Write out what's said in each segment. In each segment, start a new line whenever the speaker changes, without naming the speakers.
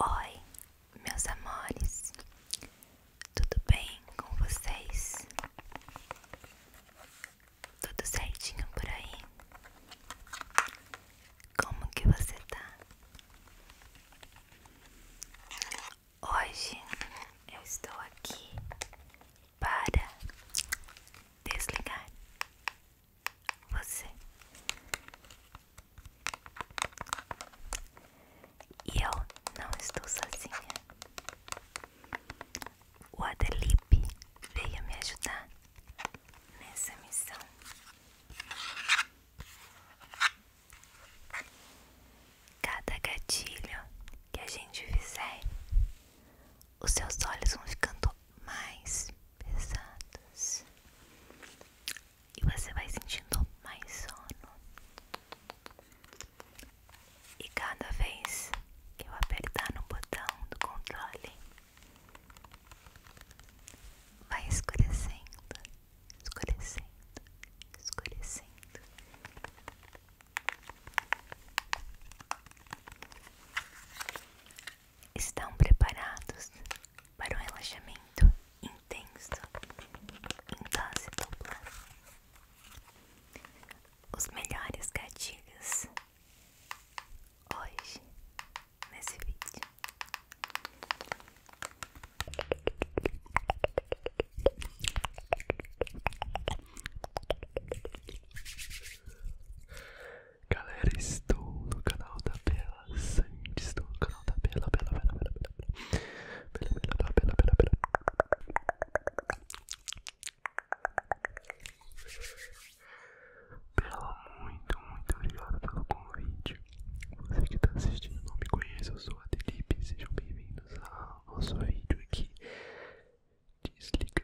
Oi, meus amores, tudo bem com vocês? Tudo certinho por aí? Como que você tá? Hoje eu estou aqui para desligar você e eu não estou sozinha. O Adelipe veio me ajudar nessa missão. Cada gatilho que a gente fizer, os seus olhos vão ficando mais pesados e você vai sentindo mais sono. E cada vez que eu apertar no botão do controle, vai escurecendo, escurecendo, escurecendo. Estão preparados para um relaxamento intenso em Os melhores gatilhos hoje nesse vídeo. Galera, estou no canal da Bela Sandy, estou no canal da Bela, Bela, Bela, Bela, Bela, Bela, Bela, Bela, Bela, Bela, muito, muito obrigado pelo convite. Você que está assistindo não me conhece, eu sou a Felipe, sejam bem-vindos ao nosso vídeo aqui. Desliga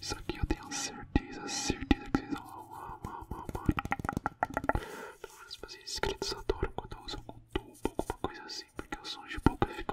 Isso aqui eu tenho certeza, certeza que vocês vão amar, amar, amar. Então, os meus inscritos adoram quando eu uso um tubo, alguma coisa assim, porque os sons de boca fica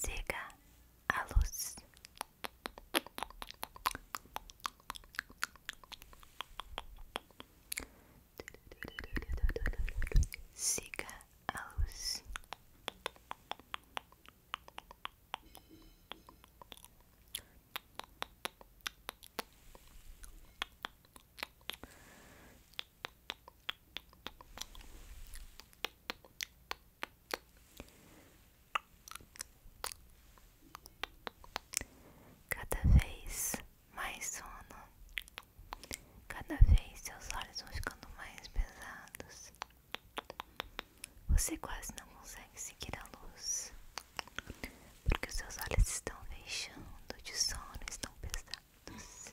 Siga a luz. Siga a luz. Cada vez mais sono, cada vez seus olhos vão ficando mais pesados. Você quase não consegue seguir a luz, porque os seus olhos estão fechando de sono, estão pesados.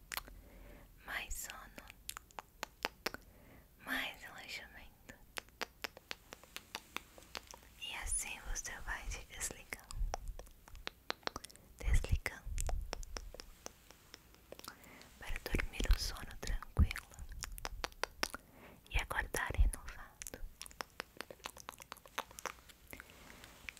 mais sono, mais relaxamento. E assim você vai se desligando desligar para dormir o sono tranquilo e acordar renovado.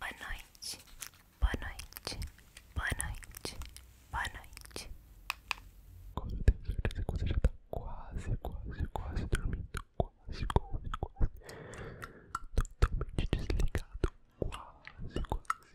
Boa noite, boa noite, boa noite, boa noite. Agora eu tenho certeza que você já tá quase, quase, quase dormindo. Quase, quase, quase. Totalmente desligado. Quase, quase.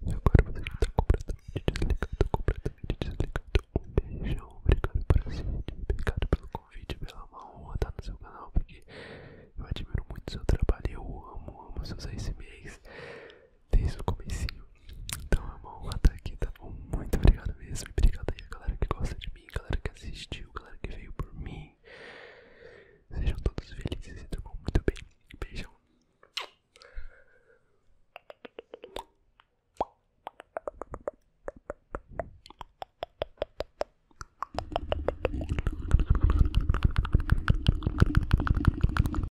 E agora você está completamente desligado, completamente desligado. Um beijão, obrigado por assistir, obrigado pelo convite, pela honra estar tá no seu canal, porque eu admiro muito o seu trabalho, eu amo, amo seus ASMRs desde o começo Então é uma honra estar aqui, tá bom? Muito obrigado mesmo. obrigado aí a galera que gosta de mim, galera que assistiu, galera que veio por mim. Sejam todos felizes e durmam muito bem. Beijão.